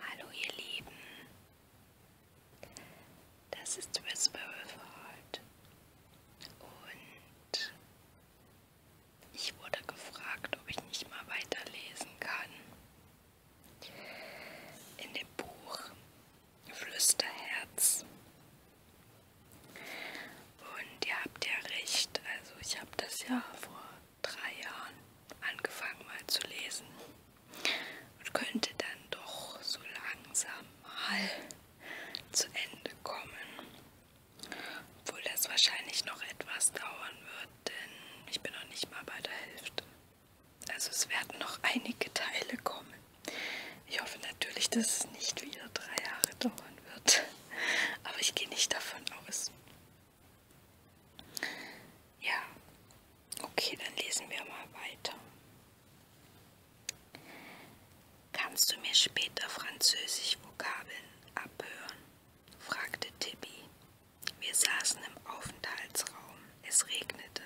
Hallo ihr Lieben, das ist Whisperer für heute und ich wurde gefragt, ob ich nicht mal weiterlesen kann. In dem Buch Flüsterherz. Und ihr habt ja recht, also ich habe das ja vor drei Jahren angefangen mal zu lesen und könnte dann doch so langsam mal zu Ende kommen. Obwohl das wahrscheinlich noch etwas dauern wird, denn ich bin noch nicht mal bei der Hälfte. Also es werden noch einige Teile kommen. Ich hoffe natürlich, dass es nicht wieder drei Jahre dauern wird. Aber ich gehe nicht davon aus. Ja, okay, dann lesen wir mal weiter. Kannst du mir später französisch Vokabeln abhören? fragte Tibi. Wir saßen im Aufenthaltsraum, es regnete.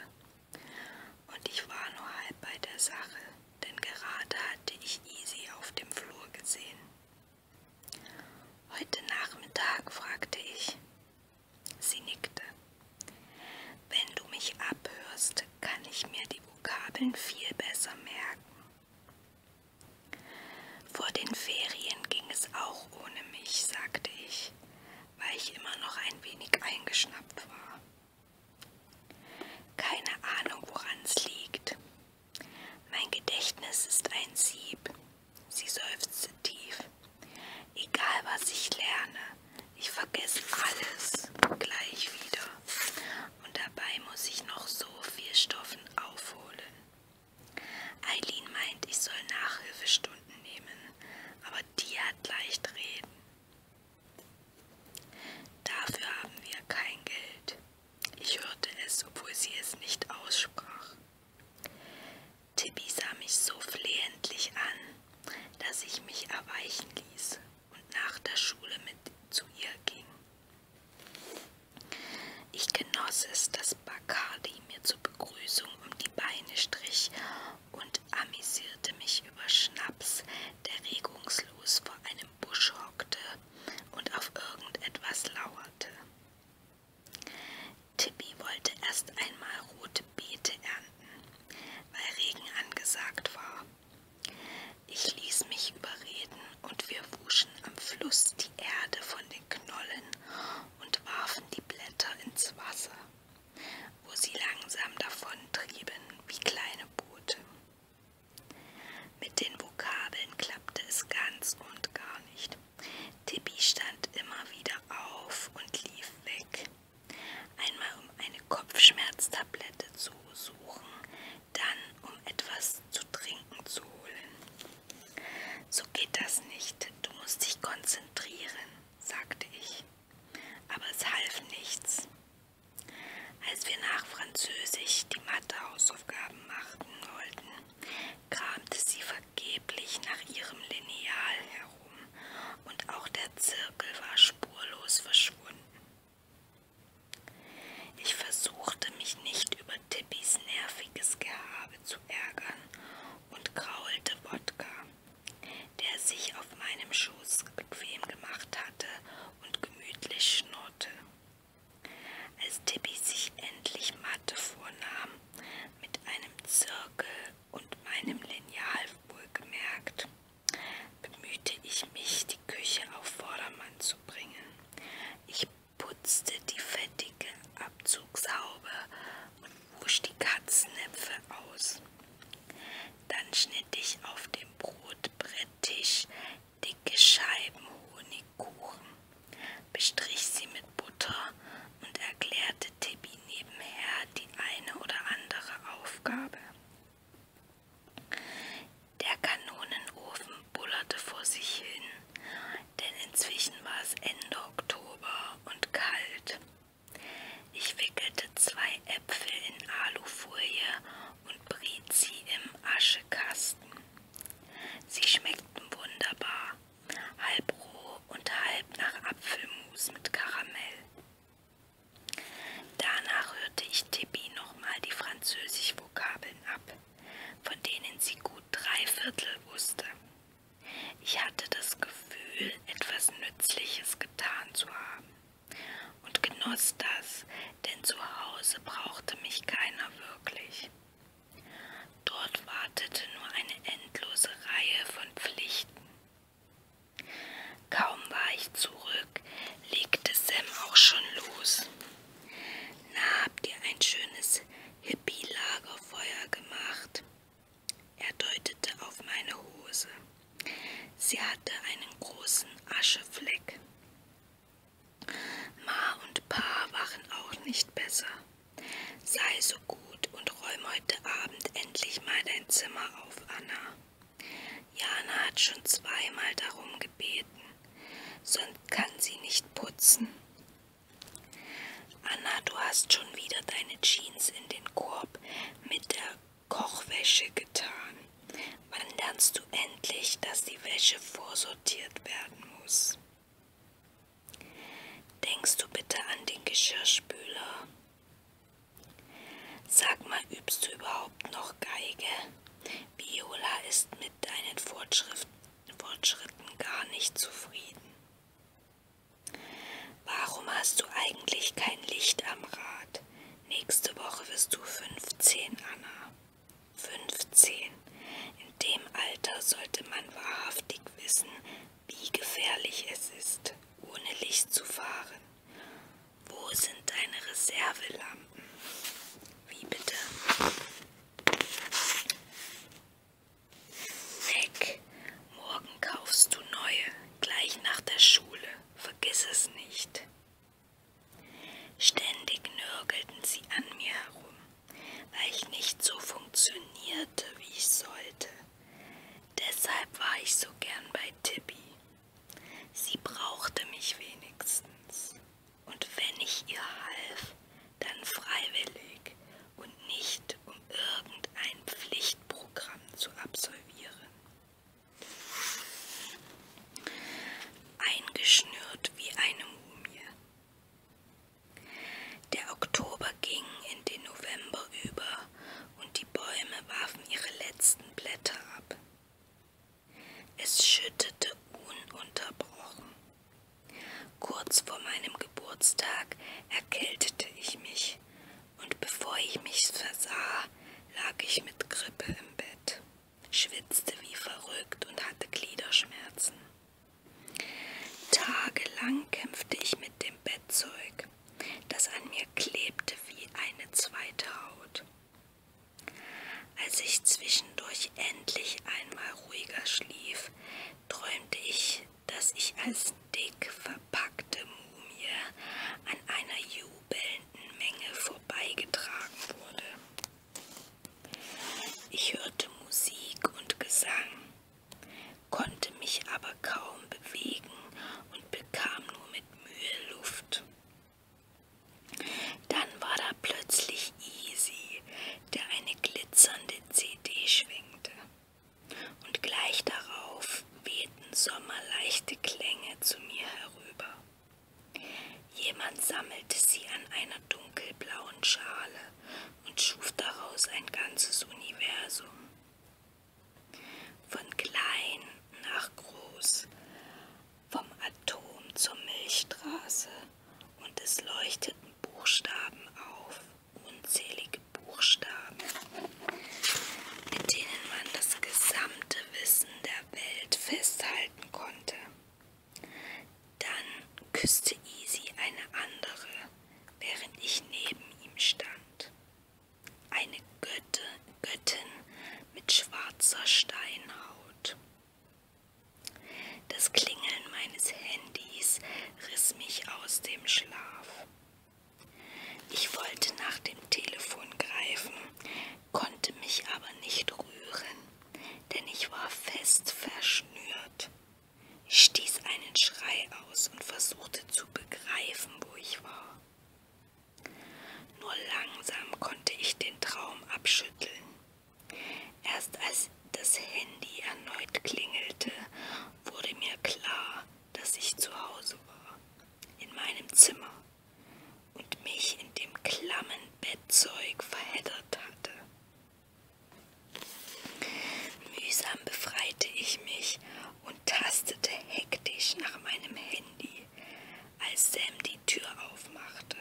Und ich war nur halb bei der Sache, denn gerade hatte ich Easy auf dem Flur gesehen. Heute Nachmittag fragte ich. Sie nickte. Wenn du mich abhörst, kann ich mir die Vokabeln viel besser merken. Vor den Ferien ging es auch ohne mich, sagte ich, weil ich immer noch ein wenig eingeschnappt war. Keine Ahnung, woran es liegt. Mein Gedächtnis ist ein Sieb. Sie seufzte tief. Egal was ich lerne, ich vergesse alles gleich wieder. Und dabei muss ich noch so viel Stoffen aufholen. Eileen meint, ich soll Nachhilfestunden nehmen, aber die hat leicht reden. Dafür haben wir kein Geld. Ich hörte es, obwohl sie es nicht aussprach. Tippi sah mich so flehentlich an, dass ich mich erweichen ließ und nach der Schule mit zu ihr ging. Ich genoss es, dass Bacardi mir zur Begrüßung um die Beine strich und amüsierte mich über Schnaps, der regungslos vor einem Busch hockte und auf irgendetwas lauerte. Timmy wollte erst einmal rote Beete ernten, weil Regen angesagt war. Ich ließ mich überreden und wir wuschen am Fluss die Erde von den Knollen und warfen die Blätter ins Wasser, wo sie langsam davontrieben wie kleine Boote. Mit den Vokabeln klappte es ganz und gar nicht. Tippi stand immer wieder auf und lief weg. Einmal um eine Kopfschmerztablette zu suchen, dann um etwas zu trinken zu holen. So geht das nicht, du musst dich konzentrieren, sagte ich. Aber es half nichts. Als wir nach Französisch die Mathehausaufgaben machten wollten, kramte sie vergeblich nach ihrem Lineal herum, und auch der Zirkel war spurlos verschwunden. Ich versuchte mich nicht über Tippys nerviges Gehabe zu ärgern und kraulte Wodka, der sich auf meinem Schoß bequem gemacht hatte und gemütlich schnurrte. Als Tippi sich endlich Mathe vornahm, mit einem Zirkel und meinem Lineal wohlgemerkt, bemühte ich mich, die Küche auf Vordermann zu bringen. Ich putzte die fettige Abzugshaube und wusch die Katzennäpfe aus. Dann schnitt ich auf dem Brotbretttisch dicke Scheiben Honigkuchen, bestrich sie mit Butter und erklärte Tippi nebenher die eine oder andere Aufgabe. Der Kanonenofen bullerte vor sich hin, denn inzwischen war es Ende Oktober und kalt. Ich wickelte zwei Äpfel in Alufolie und briet sie im Aschekasten. Sie schmeckten wunderbar, halb roh und halb nach Apfelmus mit Karamell. Danach hörte ich Tippi nochmal die Französisch-Vokabeln ab, von denen sie gut drei Viertel wusste. Ich hatte das Gefühl, etwas Nützliches getan zu haben und genoss das, denn zu Hause brauchte mich keiner wirklich. Dort wartete nur eine endlose Reihe von Pflichten. Kaum war ich zurück, legte Sam auch schon los. Na, habt ihr ein schönes Hippie-Lagerfeuer gemacht? Er deutete auf meine Hose. Sie hatte einen großen Aschefleck. Ma und Pa waren auch nicht besser. Sei so gut und räum heute Abend endlich mal dein Zimmer auf, Anna. Jana hat schon zweimal darum gebeten, sonst kann sie nicht putzen. Anna, du hast schon wieder deine Jeans in den Korb mit der Kochwäsche getan. Wann lernst du endlich, dass die Wäsche vorsortiert werden muss? Denkst du bitte an den Geschirrspüler? Sag mal, übst du überhaupt noch Geige? Viola ist mit deinen Fortschritten gar nicht zufrieden. Warum hast du eigentlich kein Licht am Rad? Nächste Woche wirst du 15, Anna. 15. In dem Alter sollte man wahrhaftig wissen, wie gefährlich es ist, ohne Licht zu fahren. Wo sind deine Reservelampen? Wie bitte? Weg! Morgen kaufst du neue, gleich nach der Schule. Vergiss es nicht. Ständig nörgelten sie an mir herum weil ich nicht so funktionierte, wie ich sollte. Deshalb war ich so gern bei Tippi. Sie brauchte mich wenigstens. Und wenn ich ihr half, dann freiwillig und nicht um irgendein Pflichtprogramm zu absolvieren. Eingeschnürt wie eine Mumie der Oktober ging in den November über und die Bäume warfen ihre letzten Blätter ab. Es schüttete ununterbrochen. Kurz vor meinem Geburtstag erkältete ich mich, und bevor ich mich versah, lag ich mit Grippe im Bett schwitzte wie verrückt und hatte Gliederschmerzen. Tagelang kämpfte ich mit dem Bettzeug, das an mir klebte wie eine zweite Haut. Als ich zwischendurch endlich einmal ruhiger schlief, träumte ich, dass ich als dick verpackte Mumie an einer jubelnden Menge vorbeigetragen wurde. Ich hörte Musik und Gesang, konnte mich aber kaum bewegen und bekam nur mit Mühe Luft. Dann war da plötzlich Easy, der eine glitzernde CD schwingte. Und gleich darauf wehten sommerleichte Klänge zu mir herüber. Jemand sammelte sie an einer dunkelblauen Schale und schuf daraus ein ganzes Universum. Von klein nach groß, vom Atom zur Milchstraße und es leuchteten Buchstaben auf, unzählige Buchstaben, mit denen man das gesamte Wissen der Welt festhalten konnte. Dann küsste Easy eine andere, während ich neben ihm stand. Eine Götte, Göttin mit schwarzer Steinhaut. Das Klingeln meines Handys riss mich aus dem Schlaf. Ich wollte nach dem Telefon greifen, konnte mich aber nicht rühren denn ich war fest verschnürt. Ich stieß einen Schrei aus und versuchte zu begreifen, wo ich war. Nur langsam konnte ich den Traum abschütteln. Erst als das Handy erneut klingelte, wurde mir klar, dass ich zu Hause war, in meinem Zimmer, und mich in dem klammen Bettzeug verheddert hatte. Mühsam befreite ich mich und tastete hektisch nach meinem Handy, als Sam die Tür aufmachte.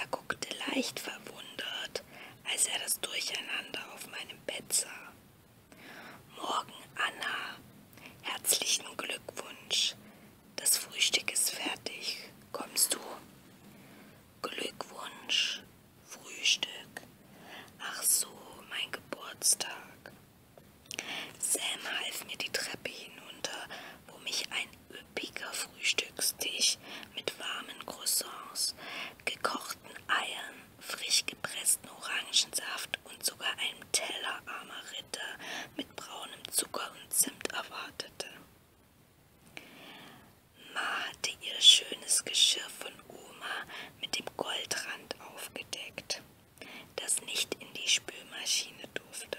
Er guckte leicht verwundert, als er das Durcheinander auf meinem Bett sah. Morgen, Anna. Herzlichen Glückwunsch. Das Frühstück ist fertig. Kommst du? Glückwunsch, Frühstück. Ach so, mein Geburtstag. Sam half mir die Treppe hinunter, wo mich ein üppiger Frühstückstisch mit warmen Croissants, gekochten Eiern, frisch gepressten Orangensaft und sogar einem Teller armer Ritter mit braunem Zucker und Zimt erwartete. Ma hatte ihr schönes Geschirr von Oma mit dem Goldrand aufgedeckt, das nicht in die Spülmaschine durfte.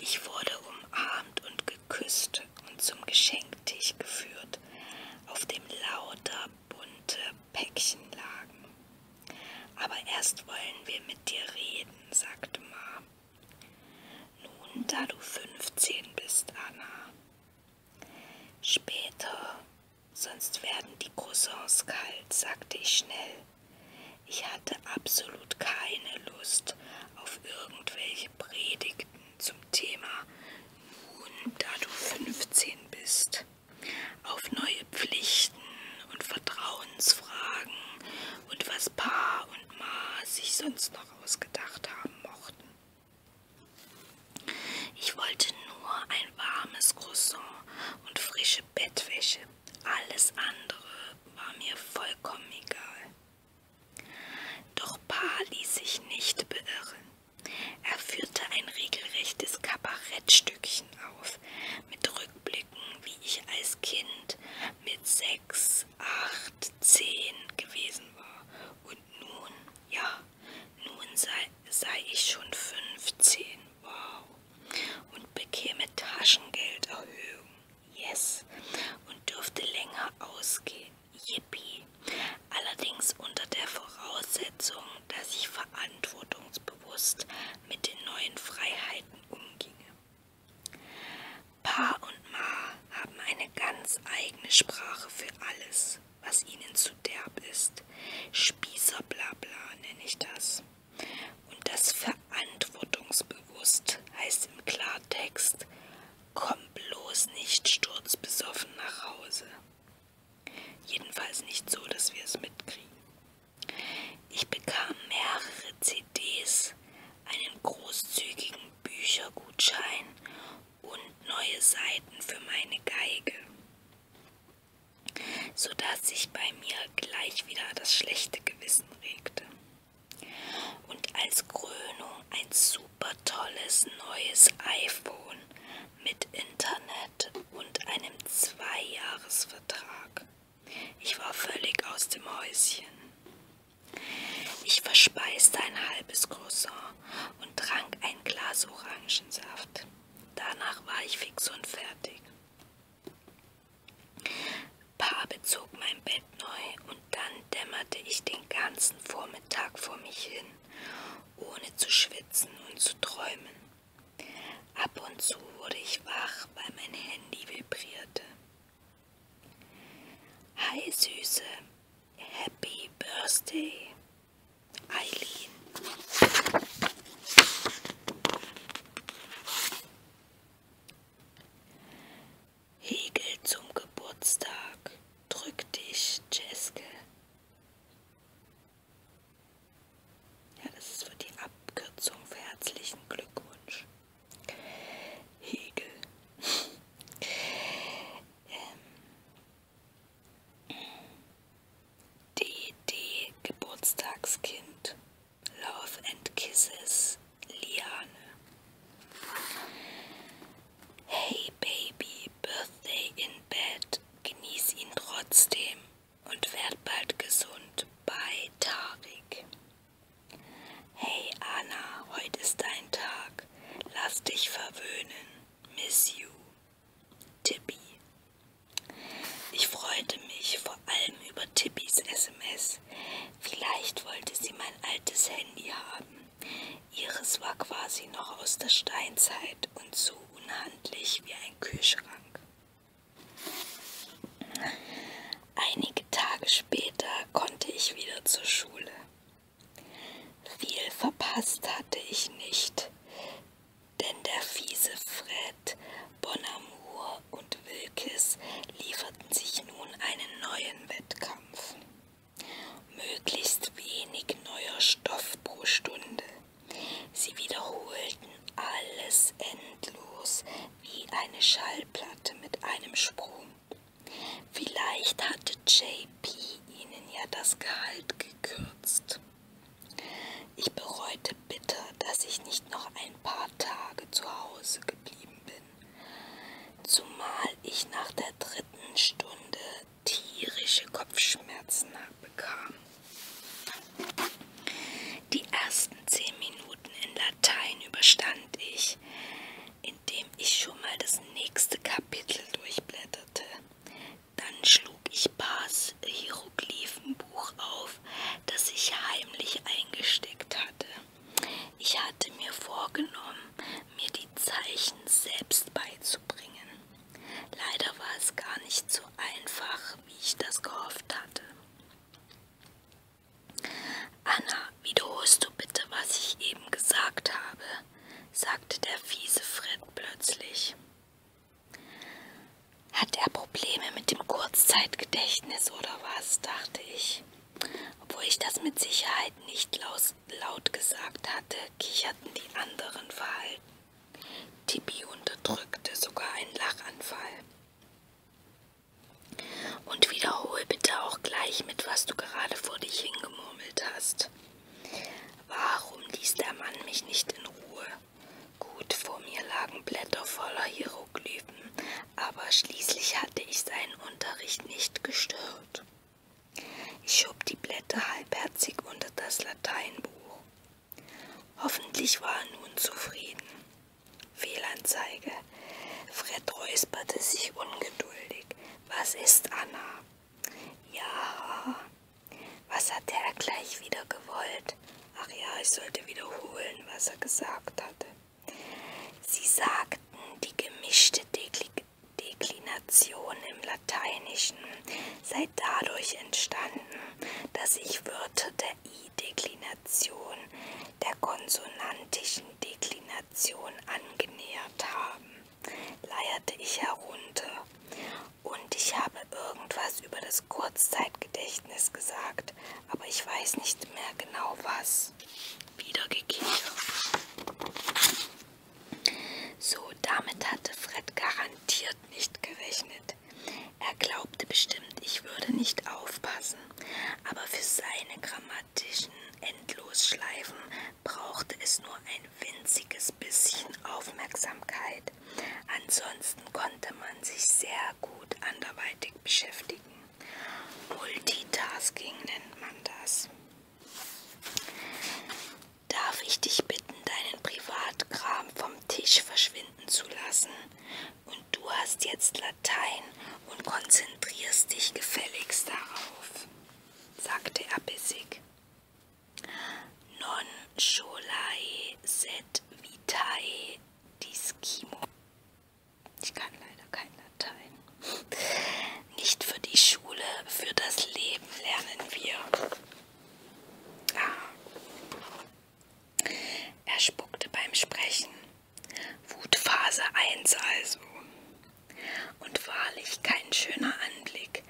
Ich wurde umarmt und geküsst und zum Geschenktisch geführt, auf dem lauter bunte Päckchen lagen. Aber erst wollen wir mit dir reden, sagte Ma. Nun, da du 15 bist, Anna. Später, sonst werden die Croissants kalt, sagte ich schnell. Ich hatte absolut keine Lust auf irgendwelche Predigten zum Thema Nun, da du 15 bist, auf neue Pflichten und Vertrauensfragen und was Pa und Ma sich sonst noch ausgedacht haben mochten. Ich wollte nur ein warmes Croissant und frische Bettwäsche. Alles andere war mir vollkommen egal. Doch Pa ließ sich nicht beirren. Er führte ein regelrechtes Kabarettstückchen auf, mit Rückblicken, wie ich als Kind mit 6, 8, 10 gewesen war. Und nun, ja, nun sei, sei ich schon 15. Wow. Und bekäme Taschengelderhöhung. Yes. Und dürfte länger ausgehen. Yippie. Allerdings unter der Voraussetzung, dass ich verantwortungsbewusst mit den neuen Freiheiten umginge. Pa und Ma haben eine ganz eigene Sprache für alles, was ihnen zu derb ist. Spießerblabla nenne ich das. Und das verantwortungsbewusst heißt im Klartext, komm bloß nicht sturzbesoffen nach Hause. Jedenfalls nicht so, dass wir es mitkriegen. Ich bekam mehrere CDs, einen großzügigen Büchergutschein und neue Seiten für meine Geige, sodass sich bei mir gleich wieder das schlechte Gewissen regte. Und als Krönung ein super tolles neues iPhone mit Internet und einem Zweijahresvertrag. Ich war völlig aus dem Häuschen. Ich verspeiste ein halbes Croissant und trank ein Glas Orangensaft. Danach war ich fix und fertig. Pa bezog mein Bett neu und dann dämmerte ich den ganzen Vormittag vor mich hin, ohne zu schwitzen und zu träumen. Ab und zu wurde ich wach, weil mein Handy vibrierte. Hi Süße, Happy Birthday, Eileen. Hegel zum Geburtstag, drück dich, Jeske. Ja, das ist für die Abkürzung für herzlichen Glückwunsch. Hegel. ähm. DD Geburtstagskind. Love and Kisses. Liane. Hey Baby, Birthday in Bed. Genieß ihn trotzdem und werd bald gesund. Bei Tarik. Hey Anna, heute ist dein Tag. Lass dich verwöhnen. Miss you. Tippi. Ich freute mich vor allem über Tippis SMS. Vielleicht wollte sie mein altes Handy haben. Ihres war quasi noch aus der Steinzeit und so unhandlich wie ein Kühlschrank. Einige Tage später konnte ich wieder zur Schule. Viel verpasst hatte ich nicht, denn der fiese Fred, Bonamour und Wilkes lieferten sich nun einen neuen Wettkampf. Möglichst wenig neuer Stoff pro Stunde. Sie wiederholten alles endlos, wie eine Schallplatte mit einem Sprung. Vielleicht hatte JP ihnen ja das Gehalt gekürzt. Ich bereute bitter, dass ich nicht noch ein paar Tage zu Hause geblieben bin, zumal ich nach der dritten Stunde tierische Kopfschmerzen bekam. Die ersten zehn Minuten in Latein überstand ich, indem ich schon mal das nächste Kapitel durchblätterte. Dann schlug ich Bars Hieroglyphenbuch auf, das ich heimlich eingesteckt hatte. Ich hatte mir vorgenommen, mir die Zeichen selbst beizubringen. Leider war es gar nicht so einfach, wie ich das gehofft hatte. Anna, wiederholst du bitte, was ich eben gesagt habe, sagte der fiese Fred plötzlich. Hat er Probleme mit dem Kurzzeitgedächtnis oder was, dachte ich. Obwohl ich das mit Sicherheit nicht laut gesagt hatte, kicherten die anderen verhalten. Tibi unterdrückte sogar einen Lachanfall. Und wiederhol bitte auch gleich mit, was du gerade vor dich hingemurmelt hast. Warum ließ der Mann mich nicht in Ruhe? Gut, vor mir lagen Blätter voller Hieroglyphen, aber schließlich hatte ich seinen Unterricht nicht gestört. Ich schob die Blätter halbherzig unter das Lateinbuch. Hoffentlich war er nun zufrieden. Fehlanzeige. Fred räusperte sich ungeduldig. Was ist Anna? Ja. Was hat er gleich wieder gewollt? Ach ja, ich sollte wiederholen, was er gesagt hatte. Sie sagten die gemischte Dekli Deklination im Lateinischen sei dadurch entstanden, dass ich Wörter der I-Deklination der konsonantischen Deklination angenähert haben, leierte ich herunter. Und ich habe irgendwas über das Kurzzeitgedächtnis gesagt, aber ich weiß nicht mehr genau was. Wiedergekehrt. So, damit hatte Fred garantiert nicht gerechnet. Er glaubte bestimmt, ich würde nicht aufpassen, aber für seine grammatischen Endlosschleifen brauchte es nur ein winziges bisschen Aufmerksamkeit. Ansonsten konnte man sich sehr gut anderweitig beschäftigen. Multitasking nennt man das. Darf ich dich bitten, deinen Privatkram vom Tisch verschwinden finden zu lassen. Und du hast jetzt Latein und konzentrierst dich gefälligst darauf, sagte er bissig. Non scholai sed vitae discimo. Ich kann leider kein Latein. Nicht für die Schule, für das Leben lernen wir. Ah. Er spuckte beim Sprechen. Wutphase 1 also. Und wahrlich kein schöner Anblick.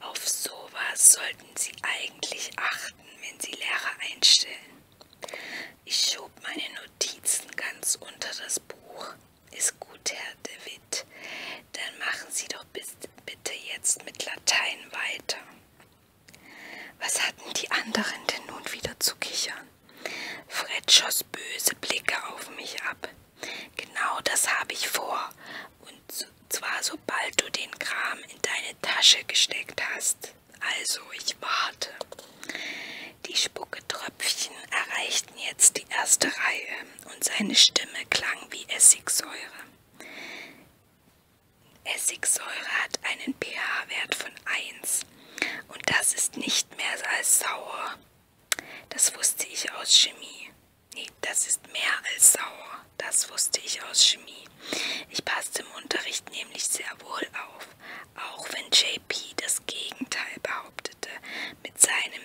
Auf sowas sollten Sie eigentlich achten, wenn Sie Lehrer einstellen. Ich schob meine Notizen ganz unter das Buch. Ist gut, Herr De Witt. Dann machen Sie doch bitte jetzt mit Latein weiter. Was hatten die anderen denn nun wieder zu kichern? Fred schoss böse Blicke auf mich ab. Genau das habe ich vor. Und zwar sobald du den Kram in deine Tasche gesteckt hast. Also ich warte. Die Spucketröpfchen erreichten jetzt die erste Reihe und seine Stimme klang wie Essigsäure. Essigsäure hat einen pH-Wert von 1. Und das ist nicht mehr als sauer. Das wusste ich aus Chemie. Nee, das ist mehr als sauer. Das wusste ich aus Chemie. Ich passte im Unterricht nämlich sehr wohl auf, auch wenn JP das Gegenteil behauptete mit seinem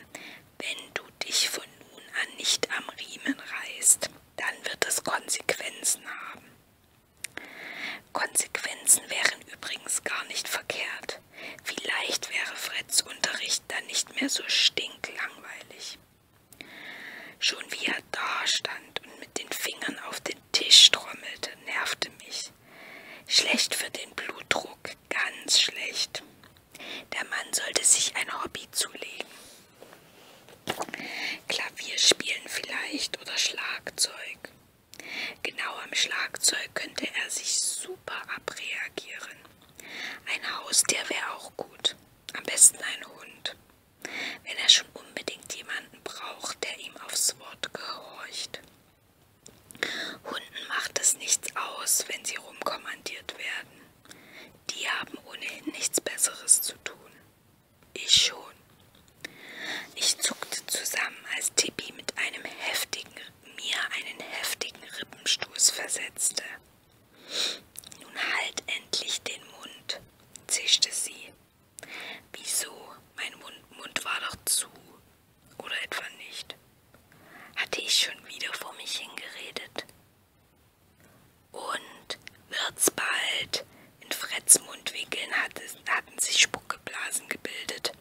Wenn du dich von nun an nicht am Riemen reißt, dann wird es Konsequenzen haben. Konsequenzen wären übrigens gar nicht verkehrt. Vielleicht wäre Freds Unterricht dann nicht mehr so stinklangweilig. Schon wie er da stand und mit den Fingern auf den Tisch trommelte, nervte mich. Schlecht für den Blutdruck, ganz schlecht. Der Mann sollte sich ein Hobby zulegen. Klavier spielen vielleicht oder Schlagzeug. Genau am Schlagzeug könnte er sich super abreagieren. Ein Haustier wäre auch gut. Am besten ein Hund. Wenn er schon unbedingt jemanden braucht, der ihm aufs Wort gehorcht. Hunden macht es nichts aus, wenn sie rumkommandiert werden. Die haben ohnehin nichts Besseres zu tun. Ich schon. Ich zuckte zusammen, als Tippi mit einem heftigen, mir einen heftigen Rippenstoß versetzte. Nun halt endlich den Mund, zischte sie. Wieso? Mein Mund, Mund war doch zu. Oder etwa nicht? Hatte ich schon wieder vor mich hingeredet? Und wird's bald? In Freds Mundwinkeln hatte, hatten sich Spuckeblasen gebildet.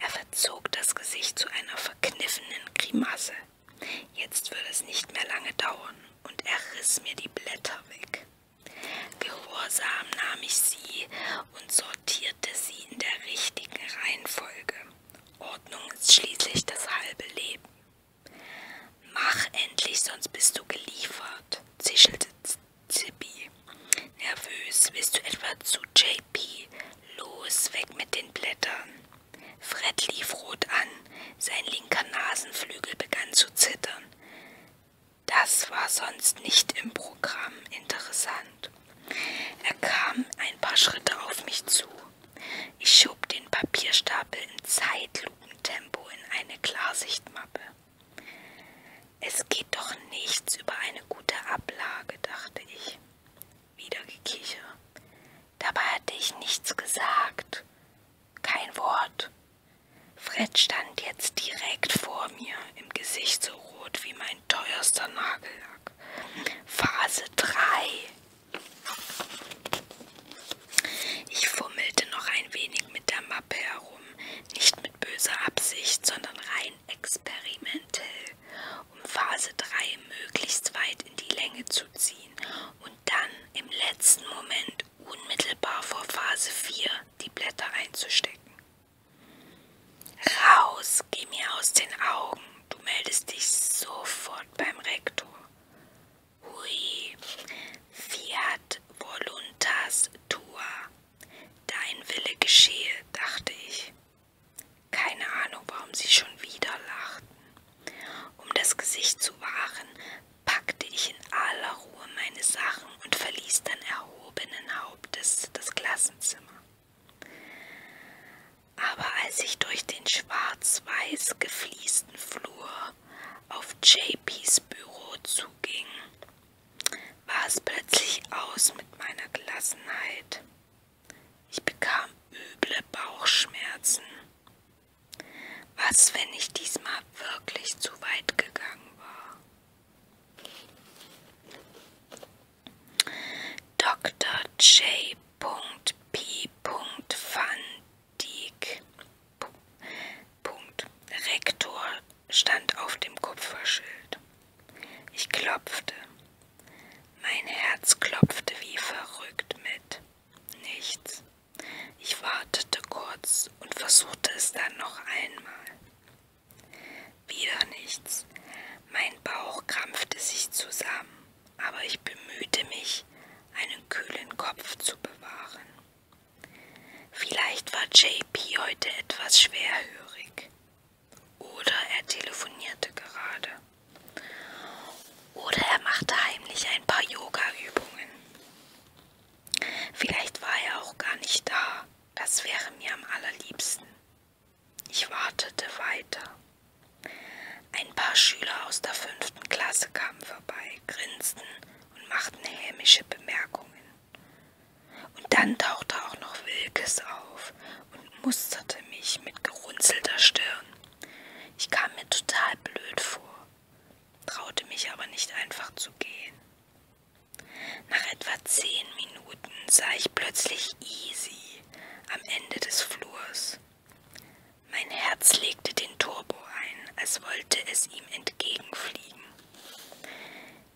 Er verzog das Gesicht zu einer verkniffenen Grimasse. Jetzt würde es nicht mehr lange dauern, und er riss mir die Blätter weg. Gehorsam nahm ich sie und sortierte sie in der richtigen Reihenfolge. Ordnung ist schließlich das halbe Leben. Mach endlich, sonst bist du geliefert, zischelte Tippi. Nervös, willst du etwa zu JP? Los, weg mit den Blättern. Fred lief rot an, sein linker Nasenflügel begann zu zittern. Das war sonst nicht im Programm interessant. Er kam ein paar Schritte auf mich zu. Ich schob den Papierstapel in Zeitlupentempo in eine Klarsichtmappe. Es geht doch nichts über eine gute Ablage, dachte ich. Wieder gekicher. Dabei hatte ich nichts gesagt. Kein Wort. Fred stand jetzt direkt vor mir, im Gesicht so rot wie mein teuerster Nagellack. Phase 3. Ich fummelte noch ein wenig mit der Mappe herum, nicht mit böser Absicht, sondern rein experimentell, um Phase 3 möglichst weit in die Länge zu ziehen und dann im letzten Moment unmittelbar vor Phase 4 die Blätter einzustecken. Raus, geh mir aus den Augen, du meldest dich sofort beim Rektor. Hui, fiat voluntas tua Dein Wille geschehe, dachte ich. Keine Ahnung, warum sie schon wieder lachten. Um das Gesicht zu wahren, packte ich in aller Ruhe meine Sachen und verließ dann erhobenen Hauptes das Klassenzimmer. Aber als ich durch den schwarz-weiß gefliesten Flur auf JPs Büro zuging, war es plötzlich aus mit meiner Gelassenheit. Ich bekam üble Bauchschmerzen. Was, wenn ich diesmal wirklich zu weit gegangen war? Dr. J. P. Van Dijk Punkt. Rektor stand auf dem Kupferschild. Ich klopfte. Mein Herz klopfte wie verrückt mit. Nichts. Ich wartete kurz und versuchte es dann noch einmal. Wieder nichts. Mein Bauch krampfte sich zusammen, aber ich bemühte mich, einen kühlen Kopf zu bewahren. Vielleicht war JP heute etwas schwerhörig. Oder er telefonierte gerade. Oder er machte heimlich ein paar Yoga-Übungen. Vielleicht war er auch gar nicht da. Das wäre mir am allerliebsten. Ich wartete weiter. Ein paar Schüler aus der fünften Klasse kamen vorbei, grinsten und machten hämische Bemerkungen. Und dann tauchte auch noch Wilkes auf und musterte mich mit gerunzelter Stirn. Ich kam mir total blöd vor, traute mich aber nicht einfach zu gehen. Nach etwa zehn Minuten sah ich plötzlich Easy am Ende des Flurs. Mein Herz legte den Turbo ein, als wollte es ihm entgegenfliegen.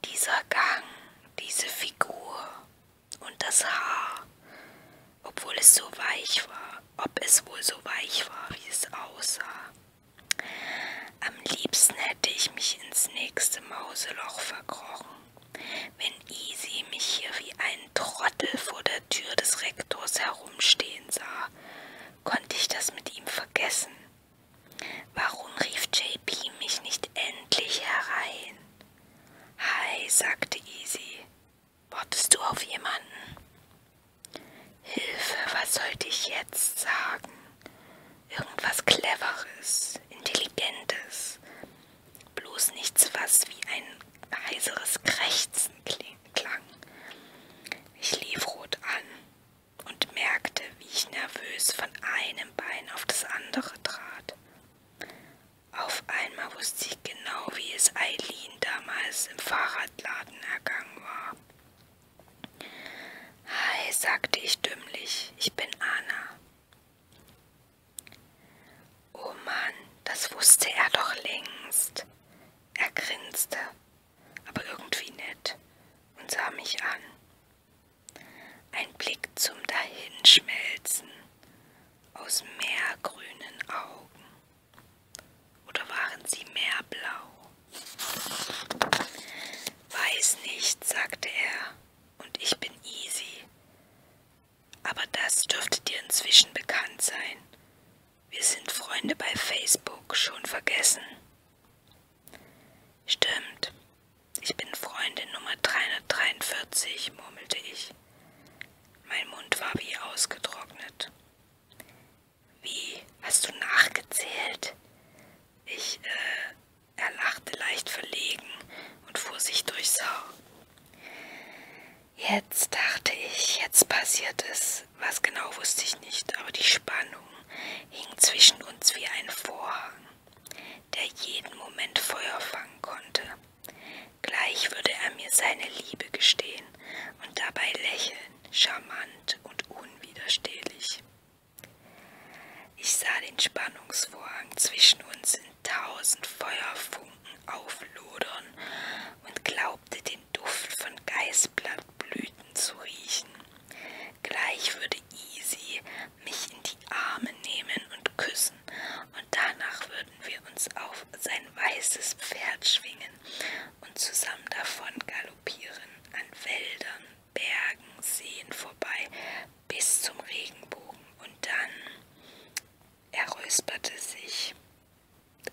Dieser Gang, diese Figur und das Haar, obwohl es so weich war, ob es wohl so weich war, wie es aussah. Am liebsten hätte ich mich ins nächste Mauseloch verkrochen, wenn Easy mich hier wie einen Trottel vor der Tür des Rektors herumstehen sah, konnte ich das mit ihm vergessen. Warum rief JP mich nicht endlich herein? Hi, sagte Easy. Wartest du auf jemanden? Hilfe, was sollte ich jetzt sagen? Irgendwas Cleveres, Intelligentes. Bloß nichts, was wie ein heiseres Krächzen klang. Ich lief rot an und merkte, wie ich nervös von einem Bein auf das andere trat. Auf einmal wusste ich genau, wie es Eileen damals im Fahrradladen ergangen war. Hi, sagte ich dümmlich, ich bin Anna. Oh Mann, das wusste er doch längst. Er grinste aber irgendwie nett und sah mich an. Ein Blick zum Dahinschmelzen aus meergrünen Augen. Oder waren sie meerblau? Weiß nicht, sagte er, und ich bin easy. Aber das dürfte dir inzwischen bekannt sein. Wir sind Freunde bei Facebook, schon vergessen. Stimmt, ich bin Freundin Nummer 343, murmelte ich. Mein Mund war wie ausgetrocknet. Wie, hast du nachgezählt? Ich, äh, er lachte leicht verlegen und fuhr sich durchs Haar. Jetzt dachte ich, jetzt passiert es. Was genau wusste ich nicht, aber die Spannung, hing zwischen uns wie ein Vorhang, der jeden Moment Feuer fangen konnte. Gleich würde er mir seine Liebe gestehen und dabei lächeln, charmant und unwiderstehlich. Ich sah den Spannungsvorhang zwischen uns in tausend Feuerfunken auflodern und glaubte den Duft von Geist Herzblattblüten zu riechen. Gleich würde Easy mich in die Arme nehmen und küssen, und danach würden wir uns auf sein weißes Pferd schwingen und zusammen davon galoppieren, an Wäldern, Bergen, Seen vorbei, bis zum Regenbogen. Und dann, er räusperte sich,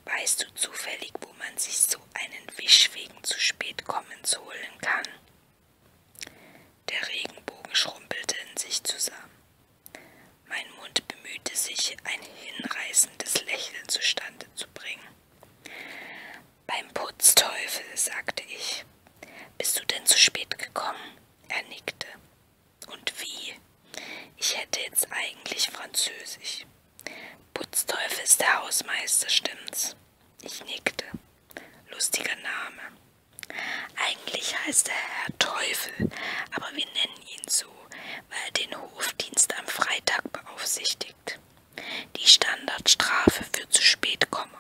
weißt du zufällig, wo man sich so einen Wisch wegen zu spät kommens holen kann? Der Regenbogen schrumppelte in sich zusammen. Mein Mund bemühte sich, ein hinreißendes Lächeln zustande zu bringen. Beim Putzteufel, sagte ich. Bist du denn zu spät gekommen? Er nickte. Und wie? Ich hätte jetzt eigentlich Französisch. Putzteufel ist der Hausmeister, stimmt's? Ich nickte. Lustiger Name. Eigentlich heißt er Herr Teufel, aber wir nennen ihn so, weil er den Hofdienst am Freitag beaufsichtigt. Die Standardstrafe für zu spät kommen.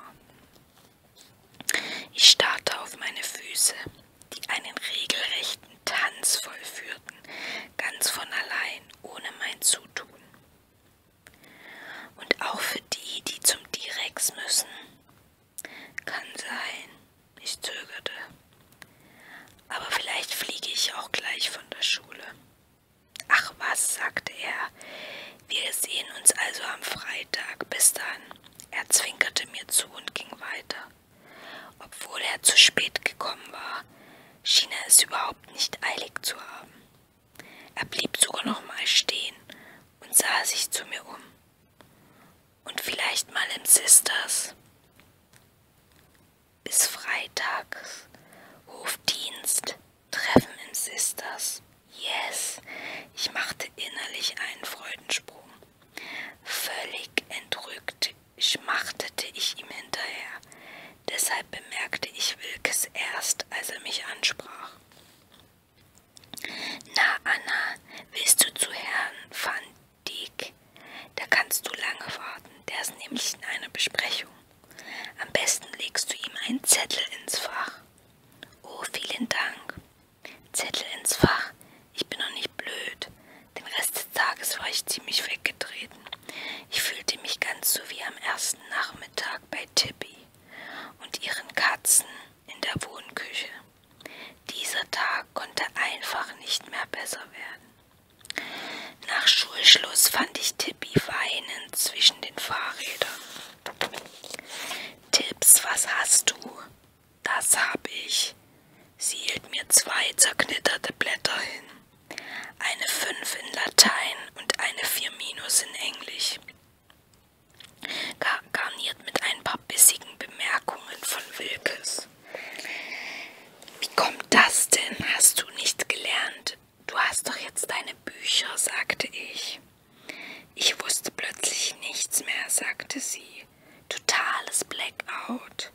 Ich starrte auf meine Füße, die einen regelrechten Tanz vollführten, ganz von allein, ohne mein Zutun. Und auch für die, die zum Direx müssen. Kann sein. Ich zögerte. Aber vielleicht fliege ich auch gleich von der Schule. Ach was, sagte er. Wir sehen uns also am Freitag. Bis dann. Er zwinkerte mir zu und ging weiter. Obwohl er zu spät gekommen war, schien er es überhaupt nicht eilig zu haben. Er blieb sogar noch mal stehen und sah sich zu mir um. Und vielleicht mal in Sisters. Bis Freitags. Hofdienst. Treffen in Sisters. Yes. Ich machte innerlich einen Freudensprung. Völlig entrückt schmachtete ich ihm hinterher. Deshalb bemerkte ich Wilkes erst, als er mich ansprach. Na, Anna, willst du zu Herrn van Dijk? Da kannst du lange warten, der ist nämlich in einer Besprechung. Am besten legst du ihm einen Zettel ins Fach. Oh, vielen Dank. Zettel ins Fach? Ich bin noch nicht blöd. Den Rest des Tages war ich ziemlich weggedreht reden. Ich fühlte mich ganz so wie am ersten Nachmittag bei Tippy und ihren Katzen in der Wohnküche. Dieser Tag konnte einfach nicht mehr besser werden. Nach Schulschluss fand ich Tippy weinend zwischen den Fahrrädern. Tipps, was hast du? Das habe ich. Sie hielt mir zwei zerknitterte Blätter hin eine 5 in Latein und eine 4 minus in Englisch. Gar garniert mit ein paar bissigen Bemerkungen von Wilkes. Wie kommt das denn? Hast du nicht gelernt? Du hast doch jetzt deine Bücher, sagte ich. Ich wusste plötzlich nichts mehr, sagte sie. Totales Blackout.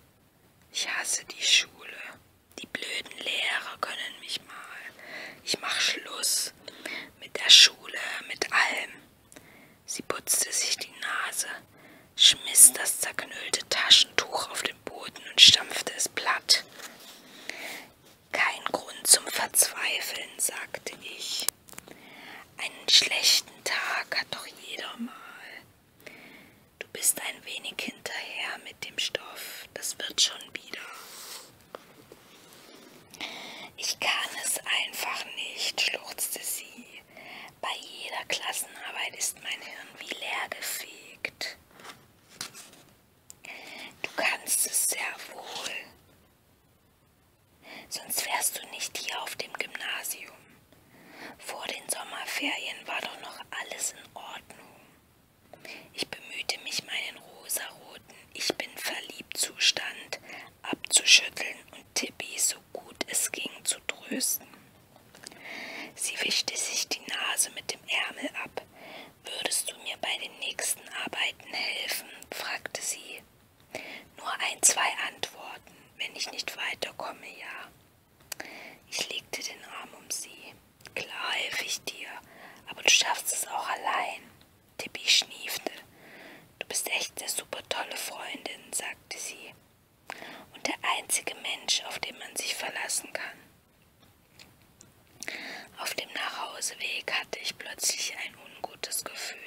Ich hasse die Schule. Die blöden Lehrer können mich mal. Ich mach Schluss mit der Schule, mit allem. Sie putzte sich die Nase, schmiss das zerknüllte Taschentuch auf den Boden und stampfte es platt. Kein Grund zum Verzweifeln, sagte ich. Einen schlechten Tag hat doch jeder mal. Du bist ein wenig hinterher mit dem Stoff, das wird schon wieder. Ich kann es einfach nicht, schluchzte sie. Bei jeder Klassenarbeit ist mein Hirn wie leer gefegt. Du kannst es sehr wohl. Sonst wärst du nicht hier auf dem Gymnasium. Vor den Sommerferien war doch noch alles in Ordnung. Ich bemühte mich, meinen rosaroten Ich bin verliebt Zustand abzuschütteln und Tippi so gut es ging zu trösten. Sie wischte sich die Nase mit dem Ärmel ab. Würdest du mir bei den nächsten Arbeiten helfen? fragte sie. Nur ein, zwei Antworten. Wenn ich nicht weiterkomme, ja. Ich legte den Arm um sie. Klar helfe ich dir, aber du schaffst es auch allein. Tippi schniefte. Du bist echt eine super tolle Freundin, sagte sie. Und der einzige Mensch, auf den man sich verlassen kann. Auf dem Nachhauseweg hatte ich plötzlich ein ungutes Gefühl.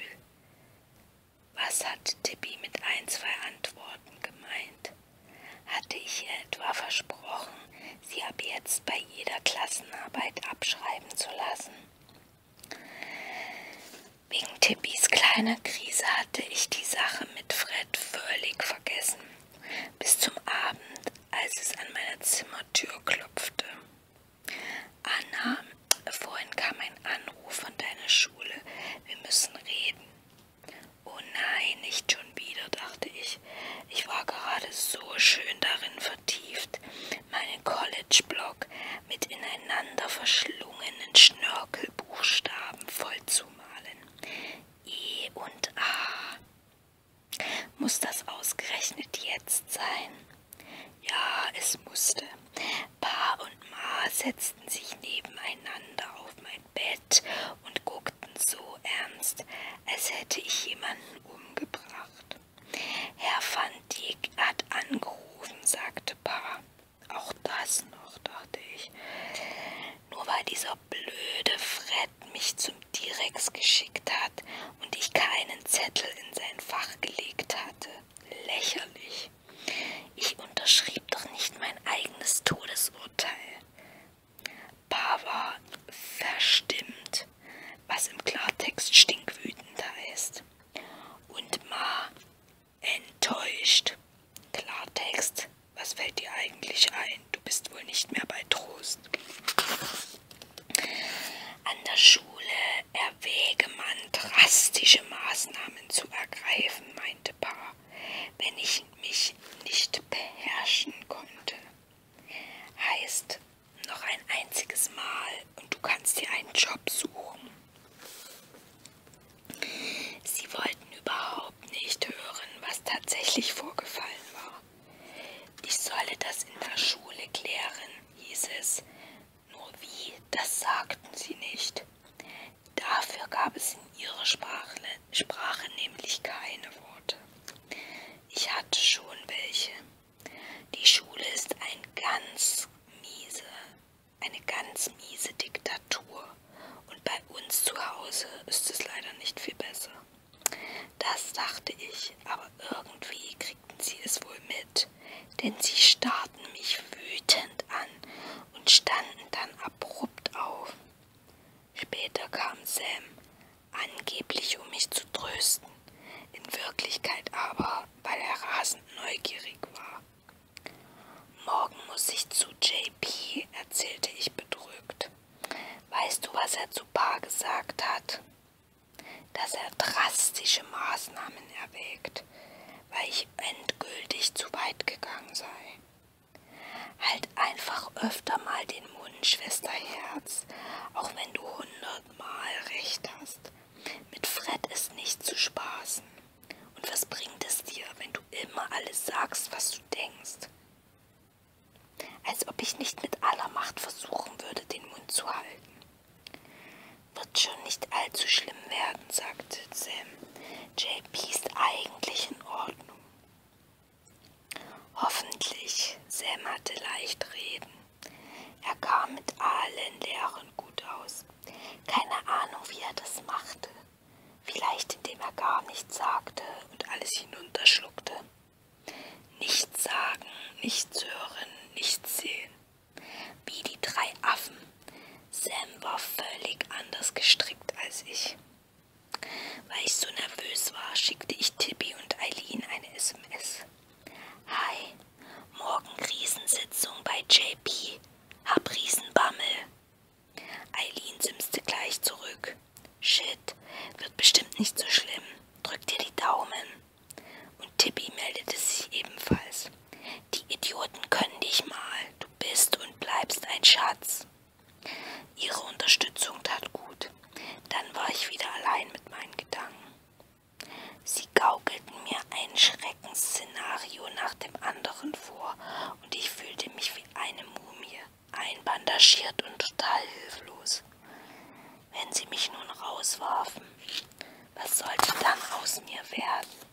Was hatte Tippi mit ein, zwei Antworten gemeint? Hatte ich ihr etwa versprochen, sie ab jetzt bei jeder Klassenarbeit abschreiben zu lassen. Wegen Tippis kleiner Krise hatte ich die Sache mit Fred völlig vergessen, bis zum Abend, als es an meiner Zimmertür klopfte. Anna, vorhin kam ein Anruf von deiner Schule, wir müssen reden. Oh nein, nicht schon schon wieder, dachte ich. Ich war gerade so schön darin vertieft, meinen College-Block mit ineinander verschlungenen Schnörkelbuchstaben vollzumalen. E und A. Muss das ausgerechnet jetzt sein? Ja, es musste. Pa und Ma setzten sich nebeneinander auf mein Bett und guckten so ernst, als hätte ich jemanden umgebracht. Herr van Dijk hat angerufen, sagte Paar. Auch das noch, dachte ich. Nur weil dieser blöde Fred mich zum T-Rex geschickt hat und ich keinen Zettel in sein Fach gelegt hatte. Lächerlich. Ich unterschrieb doch nicht mein eigenes Todesurteil. Paar verstimmt, was im Klartext stinkwütend heißt. Und Ma enttäuscht. Klartext, was fällt dir eigentlich ein? Du bist wohl nicht mehr bei Trost. An der Schule erwäge man drastische Maßnahmen zu ergreifen, meinte Pa, wenn ich mich nicht beherrschen konnte. Heißt, noch ein einziges Mal und du kannst dir einen Job suchen. Sie wollten überhaupt nicht hören, was tatsächlich vorgefallen war. Ich solle das in der Schule klären, hieß es. Nur wie, das sagten sie nicht. Dafür gab es in ihrer Sprache, Sprache nämlich keine Worte. Ich hatte schon welche. Die Schule ist ein ganz miese, eine ganz miese Diktatur. Und bei uns zu Hause ist es leider nicht viel besser. Das dachte ich, aber irgendwie kriegten sie es wohl mit, denn sie starrten mich wütend an und standen dann abrupt auf. Später kam Sam, angeblich um mich zu trösten, in Wirklichkeit aber, weil er rasend neugierig war. Morgen muss ich zu JP, erzählte ich bedrückt. Weißt du, was er zu Paar gesagt hat? Dass er drastische Maßnahmen erwägt, weil ich endgültig zu weit gegangen sei. Halt einfach öfter mal den Mund, Schwesterherz, auch wenn du hundertmal recht hast. Mit Fred ist nicht zu spaßen. Und was bringt es dir, wenn du immer alles sagst, was du denkst? Als ob ich nicht mit aller Macht versuchen würde, den Mund zu halten. Wird schon nicht allzu schlimm werden, sagte Sam. JP ist eigentlich in Ordnung. Hoffentlich, Sam hatte leicht reden. Er kam mit allen Lehrern gut aus. Keine Ahnung, wie er das machte. Vielleicht indem er gar nichts sagte und alles hinunterschluckte. Nichts sagen, nichts hören, nichts sehen. Wie die drei Affen. Sam war völlig anders gestrickt als ich. Weil ich so nervös war, schickte ich Tippi und Eileen eine SMS. Hi, morgen Riesensitzung bei JP. Hab Riesenbammel. Eileen simste gleich zurück. Shit, wird bestimmt nicht so schlimm. Drück dir die Daumen. Und Tippi meldete sich ebenfalls. Die Idioten können dich mal. Du bist und bleibst ein Schatz. Ihre Unterstützung tat gut. Dann war ich wieder allein mit meinen Gedanken. Sie gaukelten mir ein Schreckensszenario nach dem anderen vor und ich fühlte mich wie eine Mumie, einbandagiert und total hilflos. Wenn sie mich nun rauswarfen, was sollte dann aus mir werden?